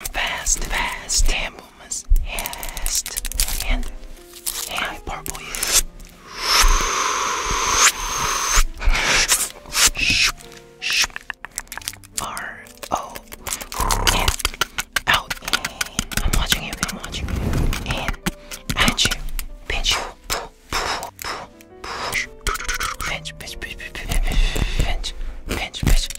Fast, fast, damn fast. And, and purple, yeah. R O N out I'm watching you, I'm watching you and pinch pinch, pinch, pinch, pinch, pinch, pinch, pinch, pinch, pinch,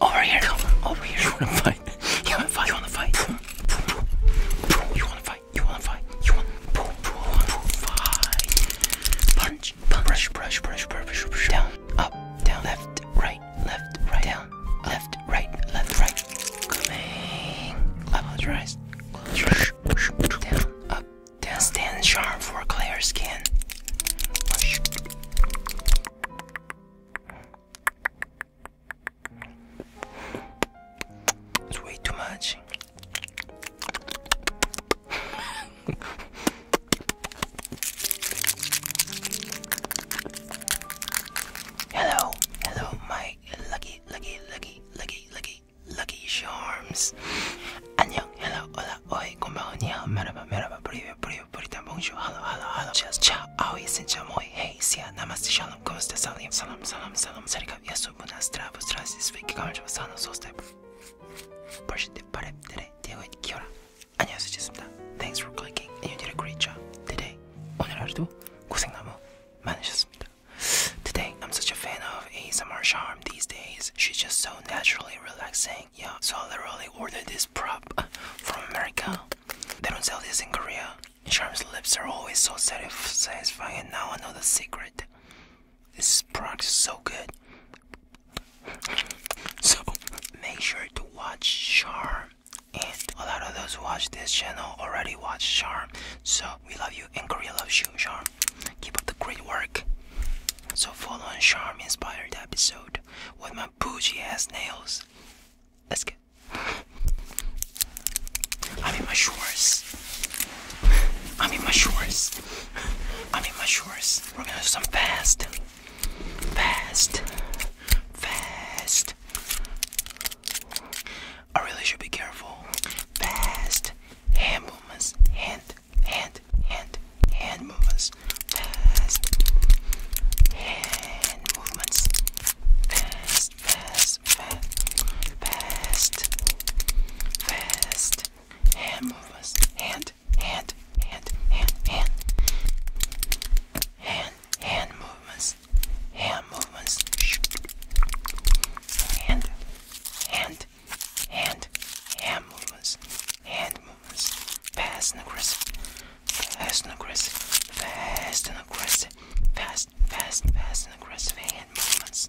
over here. Come over here. You wanna fight? You wanna fight? You wanna fight? You wanna fight? You wanna fight? You wanna fight? Punch, punch, brush, brush, brush, brush, down, up, down, left, right, left, right, down, left, right, left, right. Coming. Close your eyes. Down, up, down. Stand sharp for clear skin. It's way too much. hello, hello, my lucky, lucky, lucky, lucky, lucky, charms. 안녕, hello, hola, oi, konbanwa, niha, maraba, maraba, preview, preview, puritan, bonjour, hello, hello, hello, cheers, ciao, aoi, sencha, hey, sia, namaste, shalom, komusta, salim, salam, salam, salam, sarikab, yasu, buna, stravu, strasi, sviki, kamerjava, sana, sostai, Pushite, pare, tere, diagoid, kiora, 안녕하세요, Thanks for clicking, and you did a great job today. 오늘 하루도 고생 너무 많으셨습니다. Today, I'm such a fan of ASMR Charm these days. She's just so naturally relaxing yeah so I literally ordered this prop from America they don't sell this in Korea Charm's lips are always so satisfying and now I know the secret this product is so good so make sure to watch Charm and a lot of those who watch this channel already watch Charm so we love you in Korea Love you Charm keep up the great work so follow on Charm inspired episode hard with my bougie ass nails. Let's get. I'm in my shorts. I'm in my shorts. I'm in my shorts. We're gonna do some fast. Fast. Fast. I really should be careful. Fast hand movements. Hand hand, hand, hand movements. Fast hand movements. Fast, fast, fast, fast, fast hand movements. Hand, hand, hand, hand, hand, hand, hand movements. Hand movements. Hand, hand, hand, hand movements. Hand movements. Fast and aggressive. Fast and aggressive. Fast and aggressive. Fast, fast, fast and aggressive hand movements.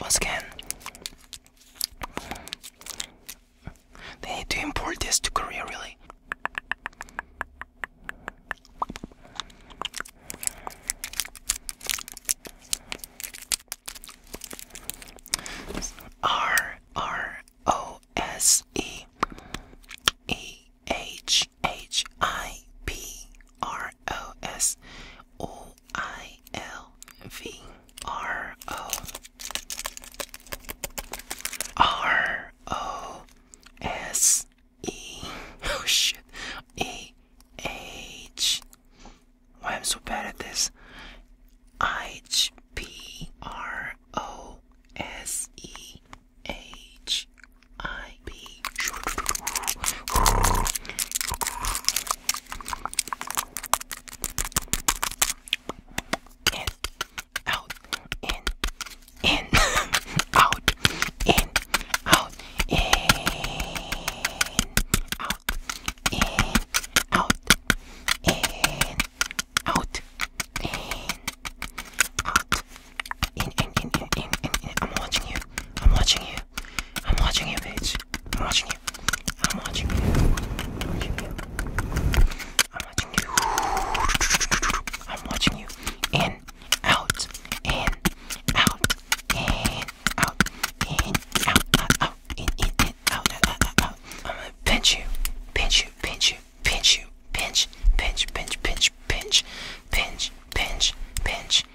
Once again, they need to import this to Korea, really. R R O S E E H H H I P R O S O I L V R O R O S E oh shit E H why i so bad at this H P R O S E H I out, in, in, out, in, out, in, out, in, out, in, out. In, in, in, in, in, in, I'm watching you. I'm watching you. I'm watching you, bitch. I'm watching you. I'm watching you. I'm watching you. I'm watching you. I'm watching you. In, out, in, out, in, out, in, out, out, out, in, in, in, out, out, out, out. I'm gonna pinch you, pinch you, pinch you, pinch you, pinch, pinch, pinch, pinch, pinch, pinch, pinch, pinch.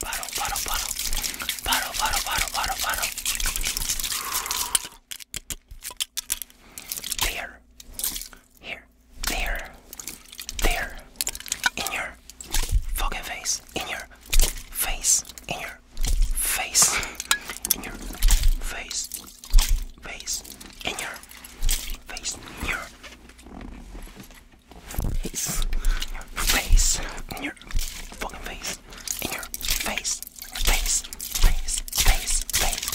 Paro, paro, paro. Paro, paro, paro, paro, paro. There. Here. There. There. In your fucking face. In your face. In your face. In your face face, in your face, in your face, face, in your fucking face, in your face, face, face, face, face.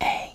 Hey,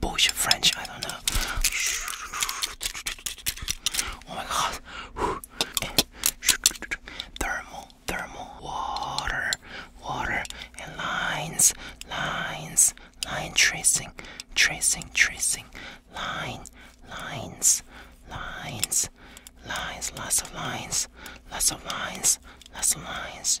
bullshit French, I don't know. Oh my god. Thermal, thermal, water, water, and lines, lines, line tracing, tracing, tracing, line, lines, lines, lines, lots of lines, lots of lines, lots of lines.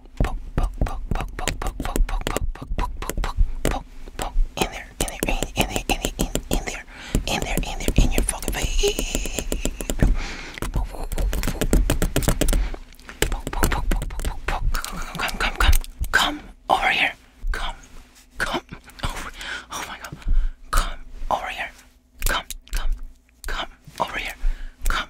poke, poke, poke, poke, poke, poke, poke, poke, poke, poke, poke, poke, poke, poke, in there, in there, in, in there, in there, in, there, in there, in there, in your fucking face. Come, come, come, come over here. Come, come over. Oh my God. Come over here. Come, come, come over here. Come,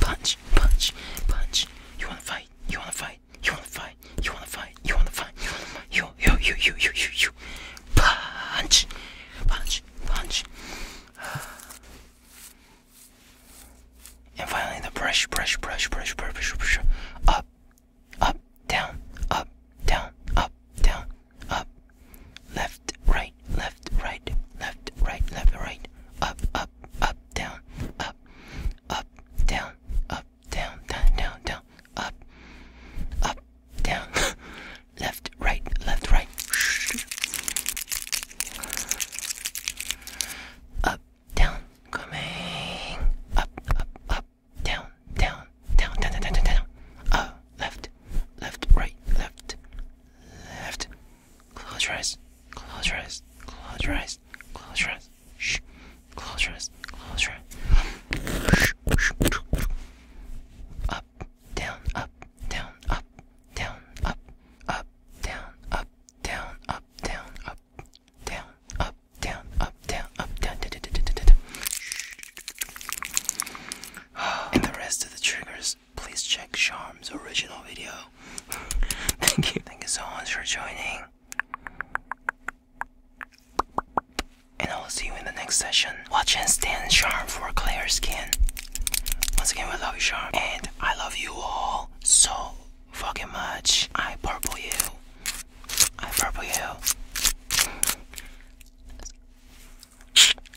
Punch, punch, punch. You wanna fight? You wanna fight? You wanna fight? You wanna fight? You wanna fight? You wanna fight? You, you, you, you, you, you, you. Punch, punch, punch. And finally, the brush, brush, brush, brush, brush, brush, brush. Up, up, down, up, down, up, down, up, left, right, left, right, left, right, left, right, up, up, up, down, up, up, down, up, down, down, down, down, up, up, down, left, right, left, right, up, down, coming, up, up, up, down, down, down, down, down, down, down, down, up, left, left, right, left, left, Close your eyes. Close your eyes. Close your eyes. Close your eyes. Shh. Close your eyes. Close your eyes. Up, down, up, down, up, down, up, up, down, up, down, up, down, up, down, up, down, up, down, up, down, down, down, down, down, down. And the rest of the triggers please check Charm's original video. Thank you. Thank you so much for joining. And I will see you in the next session. Watch and stand Charm for clear skin. Once again, we love you, Charm. And I love you all so fucking much. I purple you. I purple you.